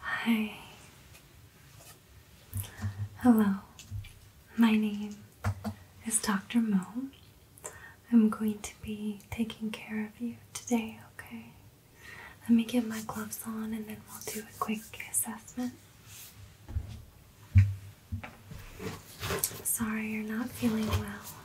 Hi. Hello. My name is Dr. Mo. I'm going to be taking care of you today, okay? Let me get my gloves on and then we'll do a quick assessment. Sorry you're not feeling well.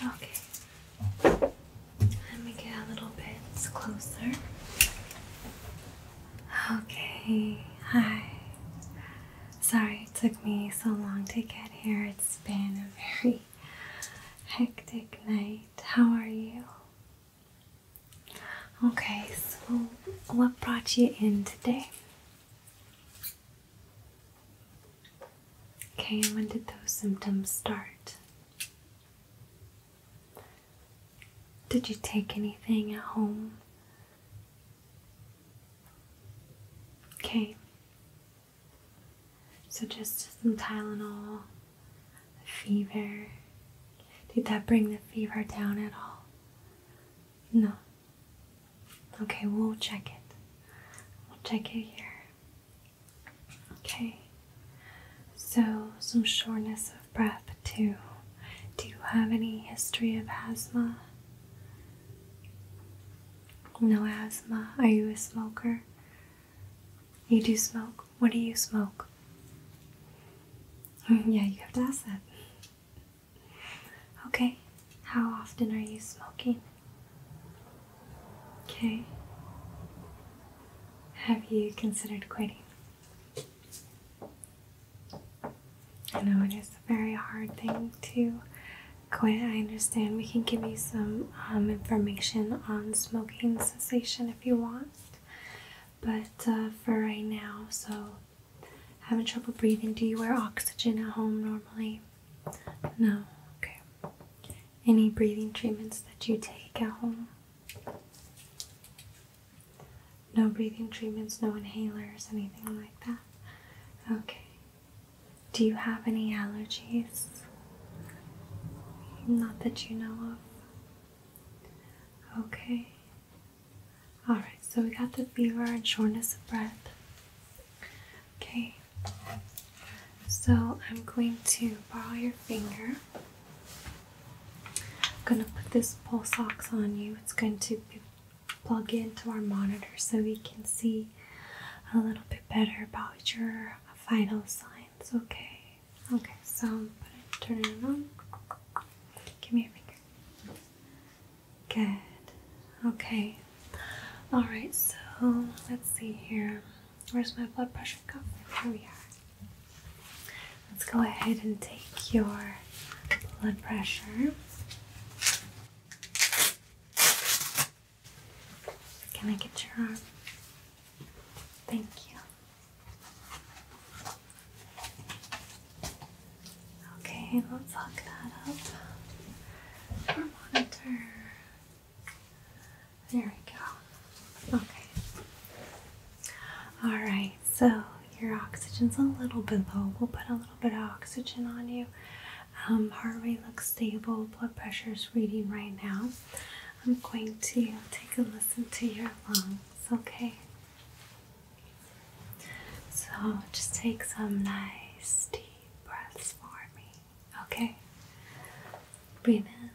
Okay. Let me get a little bit closer. Okay. Hi. Sorry it took me so long to get here. It's been a very hectic night. How are you? Okay, so what brought you in today? Okay, when did those symptoms start? Did you take anything at home? Okay. So just some Tylenol, fever. Did that bring the fever down at all? No. Okay, we'll check it. We'll check it here. Okay. So, some shortness of breath too. Do you have any history of asthma? No asthma. Are you a smoker? You do smoke. What do you smoke? yeah, you have to ask that. Okay, how often are you smoking? Okay. Have you considered quitting? I know it is a very hard thing to quit. I understand. We can give you some um, information on smoking cessation if you want, but uh, for right now, so Having trouble breathing? Do you wear oxygen at home normally? No. Okay. Any breathing treatments that you take at home? No breathing treatments, no inhalers, anything like that? Okay. Do you have any allergies? Not that you know of. Okay. Alright, so we got the fever and shortness of breath. Okay, so I'm going to borrow your finger. I'm going to put this pulse ox on you. It's going to plug into our monitor so we can see a little bit better about your vital signs. Okay, okay, so I'm gonna turn it on. Give me your finger. Good. Okay. All right, so let's see here. Where's my blood pressure cuff? Here we are. Let's go ahead and take your blood pressure. Can I get your arm? Thank you. Okay, let's hook that up. monitor. There we go. Okay. Alright, so your oxygen's a little bit low. We'll put a little bit of oxygen on you. Um, heart rate looks stable, blood pressure is reading right now. I'm going to take a listen to your lungs, okay? So just take some nice deep breaths for me. Okay? Breathe in.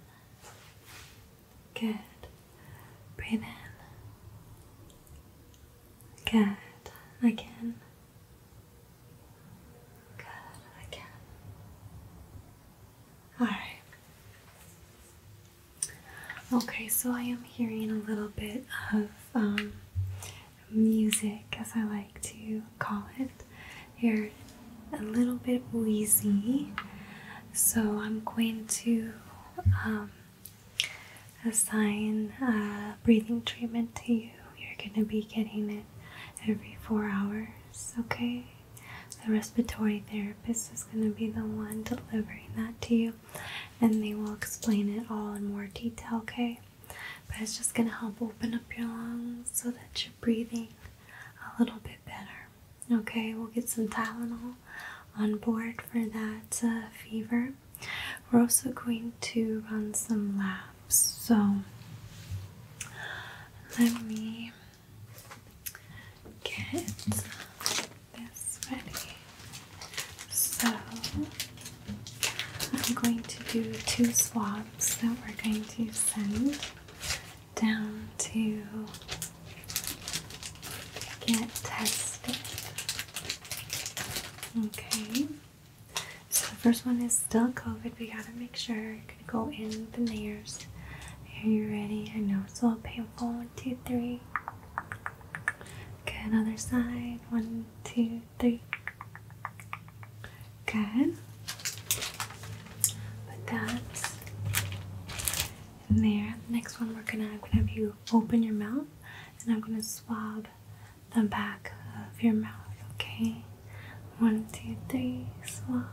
Good. Breathe in. Good. Again. Good. Again. Alright. Okay, so I am hearing a little bit of um, music, as I like to call it. You're a little bit wheezy, so I'm going to um, assign a breathing treatment to you. You're going to be getting it every four hours, okay? The respiratory therapist is going to be the one delivering that to you and they will explain it all in more detail, okay? But it's just going to help open up your lungs so that you're breathing a little bit better, okay? We'll get some Tylenol on board for that uh, fever. We're also going to run some labs, so let me get this ready. So I'm going to do two swabs that we're going to send down to get tested. Okay. So the first one is still COVID. We gotta make sure you're go in the layers. Are you ready? I know it's a little painful. One, two, three. Good, other side. One, two, three. Good. Put that there. next one, we're gonna, I'm gonna have you open your mouth and I'm gonna swab the back of your mouth, okay? One, two, three, swab.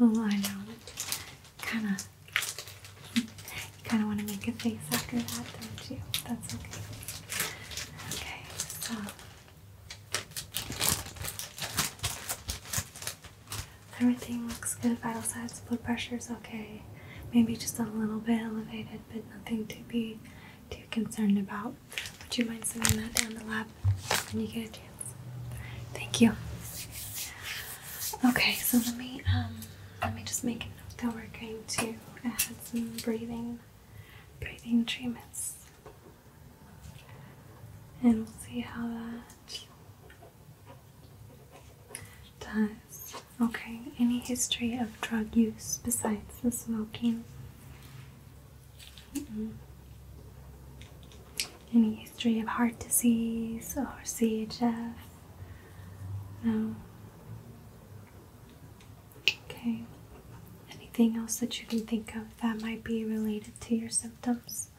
Oh, I know. it. Kind of. kind of want to make a face after that, don't you? That's okay. Okay, so everything looks good. Vital signs, blood pressure is okay. Maybe just a little bit elevated, but nothing to be too concerned about. Would you mind sending that down the lab when you get Thank you. Okay, so let me um, let me just make a note that we're going to add some breathing breathing treatments, and we'll see how that does. Okay, any history of drug use besides the smoking? Any history of heart disease or CHF? No. Okay. Anything else that you can think of that might be related to your symptoms?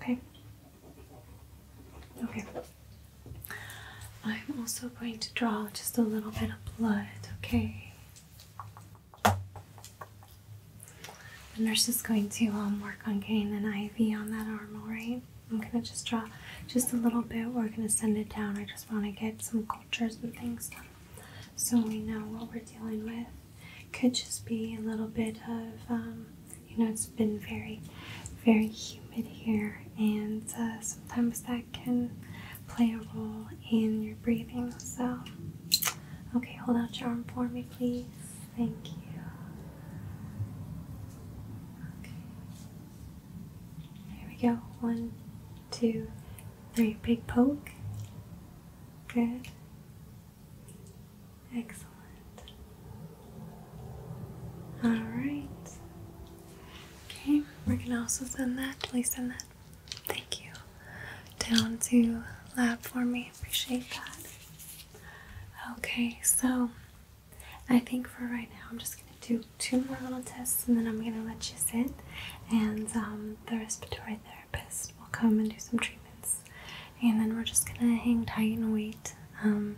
Okay. Okay. I'm also going to draw just a little bit of blood, okay? The nurse is going to um, work on getting an IV on that arm, alright? I'm going to just draw just a little bit. We're going to send it down. I just want to get some cultures and things done so we know what we're dealing with. Could just be a little bit of, um, you know, it's been very, very humid here, and uh, sometimes that can play a role in your breathing. So, okay, hold out your arm for me, please. Thank you. Okay. Here we go. One, two, three. Big poke. Good. Excellent. All right. Okay, we're gonna also send that. Please send that Thank you. Down to lab for me. Appreciate that. Okay, so I think for right now I'm just going to do two more little tests and then I'm going to let you sit and um, the respiratory therapist will come and do some treatments. And then we're just going to hang tight and wait um,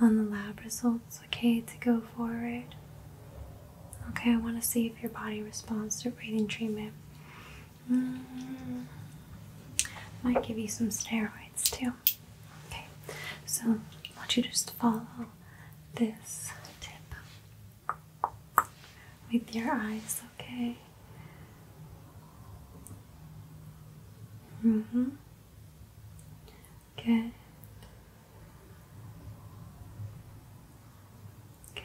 on the lab results, okay, to go forward. Okay, I want to see if your body responds to breathing treatment. Mm, might give you some steroids too. Okay, so I want you to just follow this tip with your eyes, okay? Mm hmm. Good. Good.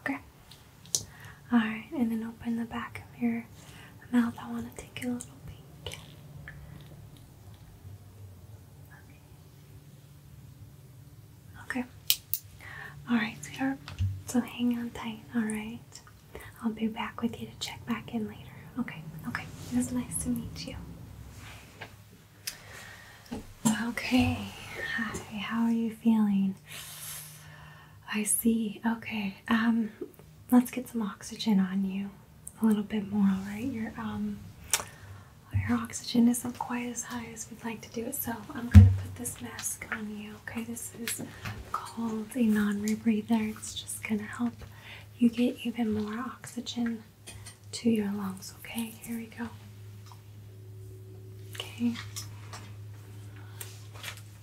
Okay. Alright, and then open the back of your mouth. I want to take a little peek. Okay. Alright, sweetheart. So hang on tight, alright? I'll be back with you to check back in later. Okay, okay. It was nice to meet you. Okay, hi, how are you feeling? I see. Okay, um, let's get some oxygen on you a little bit more, all right? Your, um, your oxygen isn't quite as high as we'd like to do it, so I'm gonna put this mask on you, okay? This is called a non rebreather, it's just gonna help you get even more oxygen to your lungs. Okay, here we go. Okay.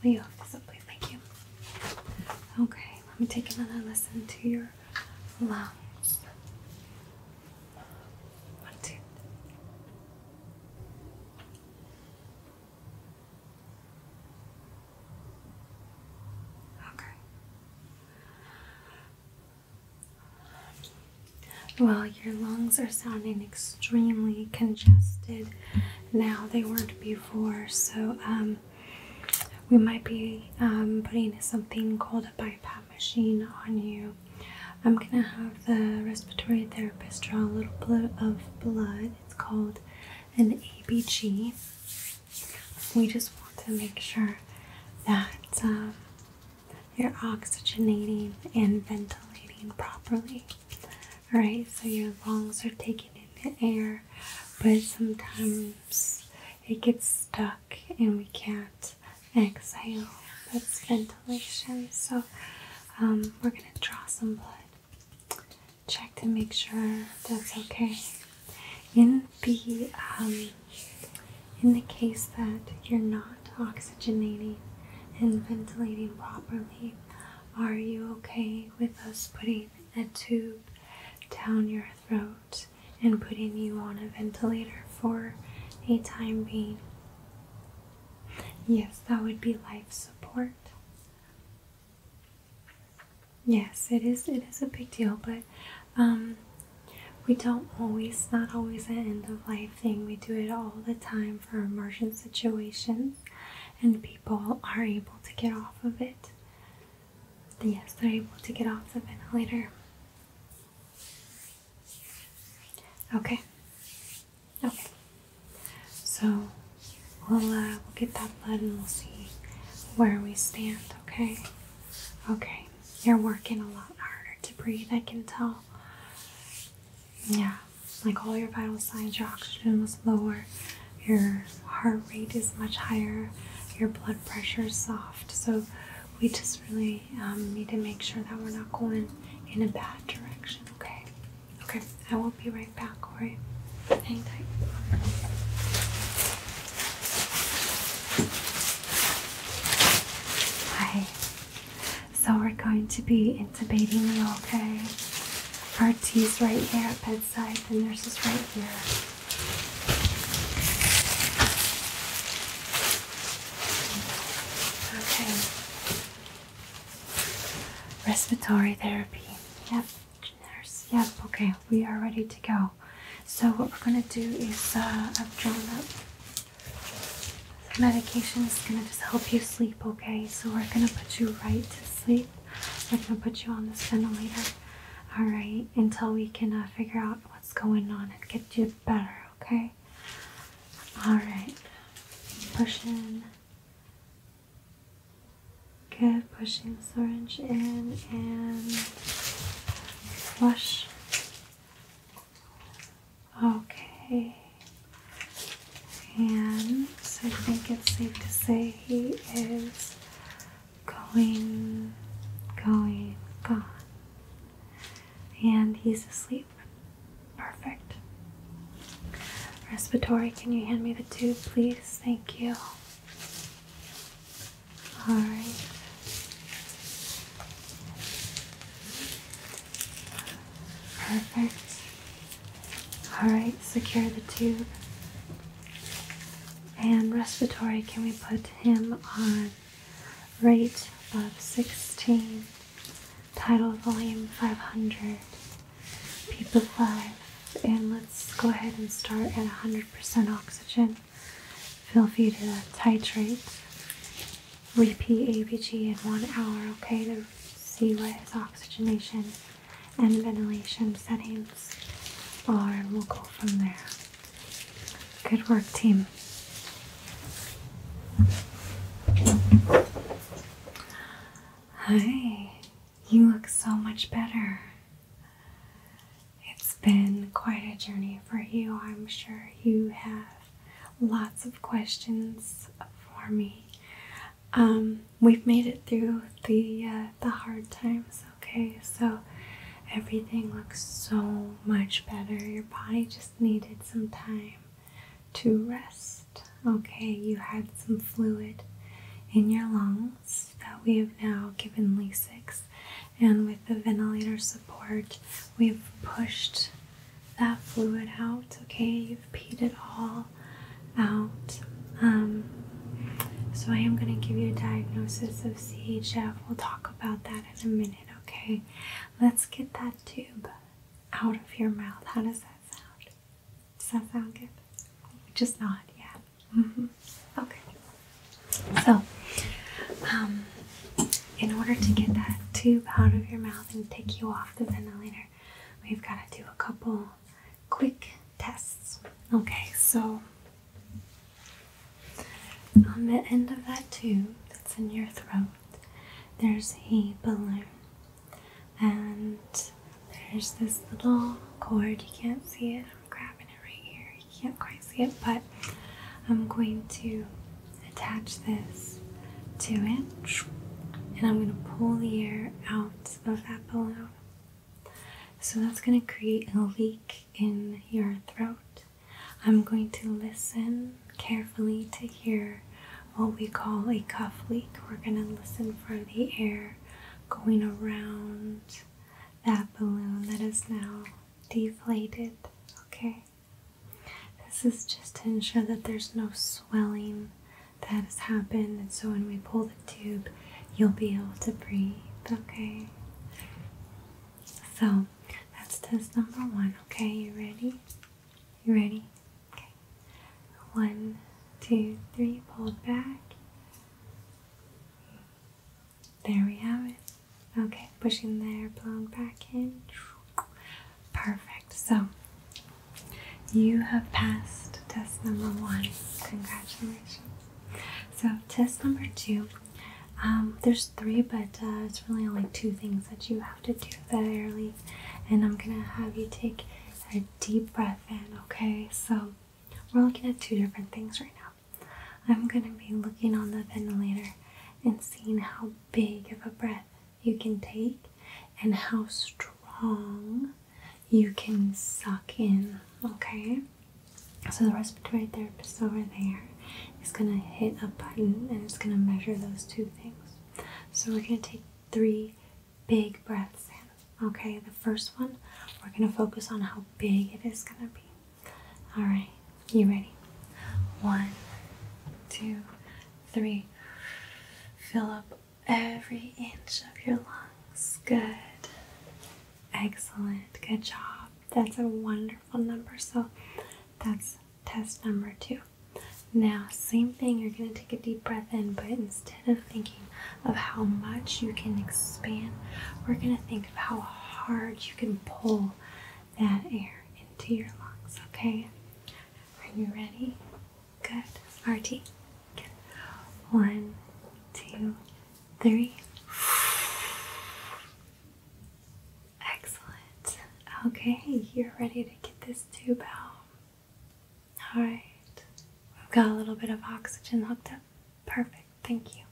Leo, please, thank you. Okay, let me take another listen to your lungs. One, two. Okay. Well, your lungs are sounding extremely congested now. They weren't before, so um, we might be um, putting something called a BiPAP machine on you. I'm gonna have the respiratory therapist draw a little bit of blood. It's called an ABG. We just want to make sure that um, you're oxygenating and ventilating properly. right? so your lungs are taking in the air, but sometimes it gets stuck and we can't exhale. That's ventilation. So um, we're going to draw some blood. Check to make sure that's okay. In be um, in the case that you're not oxygenating and ventilating properly. Are you okay with us putting a tube down your throat and putting you on a ventilator for a time being? Yes, that would be life support. Yes, it is. It is a big deal, but um, we don't always, not always, an end of life thing. We do it all the time for emergent situations, and people are able to get off of it. Yes, they're able to get off the ventilator. Okay. Okay. So we'll uh, we'll get that blood and we'll see where we stand. Okay. Okay, you're working a lot harder to breathe, I can tell. Yeah, like all your vital signs, your oxygen was lower, your heart rate is much higher, your blood pressure is soft. So we just really um, need to make sure that we're not going in a bad direction, okay? Okay, I will be right back, alright? Hi. So we're going to be intubating you, okay? RT's right here at bedside, the nurse is right here. Okay. Respiratory therapy. Yep. Nurse. Yep. Okay. We are ready to go. So what we're gonna do is uh, I've drawn up the medication. is gonna just help you sleep. Okay. So we're gonna put you right to sleep. We're gonna put you on this ventilator. All right. Until we can uh, figure out what's going on and get you better. Okay. All right. Push in. Good, pushing the syringe in and flush. Okay, and so I think it's safe to say he is going, going, gone. And he's asleep. Perfect. Respiratory, can you hand me the tube, please? Thank you. All right. Perfect. All right, secure the tube. And respiratory, can we put him on rate of 16, tidal volume 500, people 5? And let's go ahead and start at 100% oxygen. Feel free to titrate. Repeat ABG in one hour, okay, to see what his oxygenation and ventilation settings are, and we'll go from there. Good work, team. Hi. You look so much better. It's been quite a journey for you. I'm sure you have lots of questions for me. Um, we've made it through the uh, the hard times, okay? So everything looks so much better. Your body just needed some time to rest. Okay, you had some fluid in your lungs that we have now given Lasix, and with the ventilator support, we've pushed that fluid out. Okay, you've peed it all out. Um, so I am going to give you a diagnosis of CHF. We'll talk about that in a minute. Okay, let's get that tube out of your mouth. How does that sound? Does that sound good? Just not yet. Mm-hmm. Okay. So, um, in order to get that tube out of your mouth and take you off the ventilator, we've got to do a couple quick tests. Okay, so on the end of that tube that's in your throat, there's a balloon. And there's this little cord, you can't see it I'm grabbing it right here. You can't quite see it, but I'm going to attach this to it, and I'm going to pull the air out of that balloon. So that's going to create a leak in your throat. I'm going to listen carefully to hear what we call a cuff leak. We're going to listen for the air going around that balloon that is now deflated. Okay, this is just to ensure that there's no swelling that has happened, and so when we pull the tube, you'll be able to breathe. Okay, so that's test number one. Okay, you ready? You ready? Okay, one, two, three, pull back. There we have it. Okay, pushing the air blown back in. Perfect. So you have passed test number one. Congratulations. So test number two. Um, there's three, but uh, it's really only two things that you have to do that early. And I'm gonna have you take a deep breath in. Okay, so we're looking at two different things right now. I'm going to be looking on the ventilator and seeing how big of a breath you can take and how strong you can suck in, okay? So the respiratory therapist over there is going to hit a button and it's going to measure those two things. So we're going to take three big breaths Okay, the first one, we're going to focus on how big it is going to be. All right, you ready? One, two, three. Fill up every inch of your lungs. Good. Excellent. Good job. That's a wonderful number. So that's test number two. Now, same thing, you're going to take a deep breath in, but instead of thinking, of how much you can expand, we're going to think of how hard you can pull that air into your lungs. Okay? Are you ready? Good. RT. Good. One, two, three. Excellent. Okay, you're ready to get this tube out. Alright, we've got a little bit of oxygen hooked up Perfect, thank you.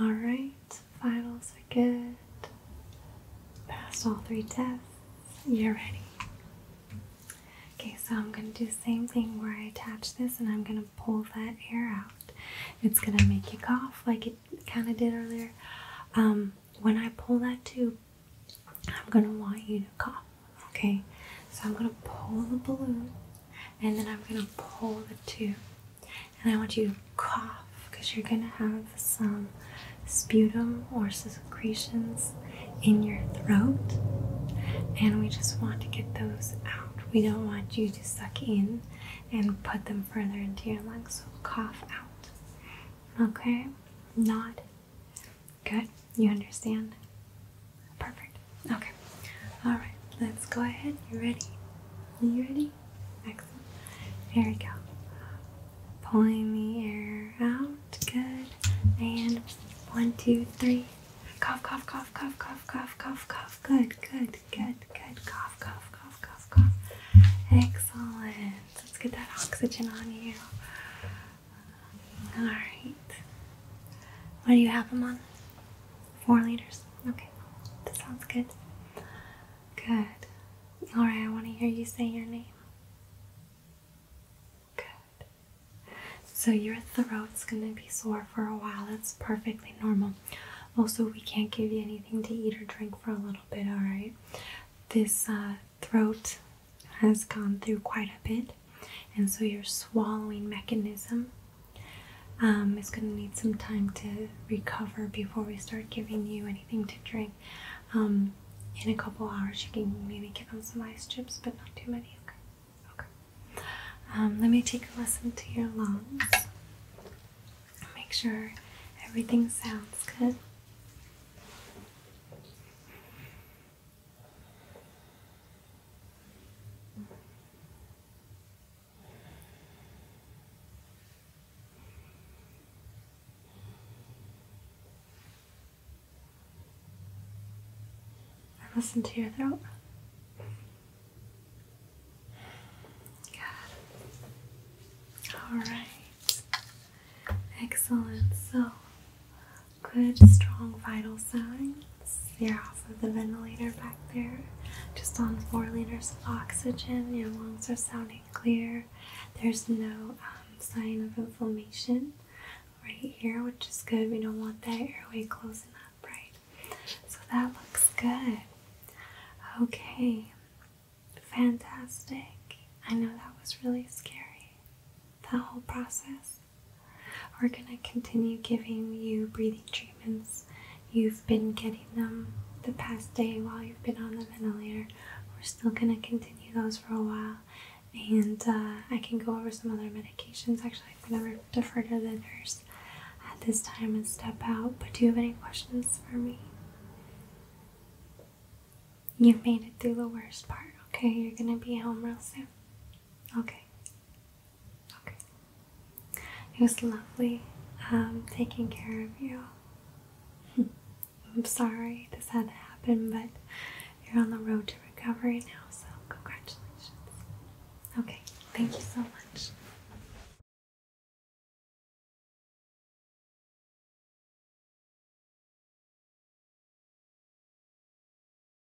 Alright, finals are good. Passed all three tests. You're ready. Okay, so I'm going to do the same thing where I attach this and I'm going to pull that air out. It's going to make you cough like it kind of did earlier. Um, when I pull that tube, I'm going to want you to cough. Okay, so I'm gonna pull the balloon and then I'm gonna pull the tube. And I want you to cough because you're gonna have some sputum or secretions in your throat. And we just want to get those out. We don't want you to suck in and put them further into your lungs. So cough out. Okay? Nod. Good. You understand? Perfect. Okay. All right. Let's go ahead. You ready? You ready? Excellent. Here we go. Pulling the air out. Good. And one, two, three. Cough, cough, cough, cough, cough, cough, cough, cough. Good, good, good, good. Cough, cough, cough, cough, cough. Excellent. Let's get that oxygen on you. All right. What do you have them on? Four liters. Okay, that sounds good. Good. All right, I want to hear you say your name. Good. So your throat's going to be sore for a while. That's perfectly normal. Also, we can't give you anything to eat or drink for a little bit, all right? This uh, throat has gone through quite a bit. And so your swallowing mechanism um, is going to need some time to recover before we start giving you anything to drink. Um, in a couple hours, you can maybe give them some ice chips, but not too many. Okay. Okay. Um, let me take a listen to your lungs. Make sure everything sounds good. Listen to your throat. Good. All right. Excellent. So Good, strong vital signs. You're off of the ventilator back there, just on four liters of oxygen. Your lungs are sounding clear. There's no um, sign of inflammation right here, which is good. We don't want that airway closing up, right? So that looks good. Okay, fantastic. I know that was really scary, that whole process. We're going to continue giving you breathing treatments. You've been getting them the past day while you've been on the ventilator. We're still going to continue those for a while. And uh, I can go over some other medications. Actually, I'm going to defer to the nurse at this time and step out. But do you have any questions for me? You made it through the worst part, okay? You're gonna be home real soon. Okay. Okay. It was lovely um, taking care of you. I'm sorry this had to happen, but you're on the road to recovery now, so congratulations. Okay, thank you so much.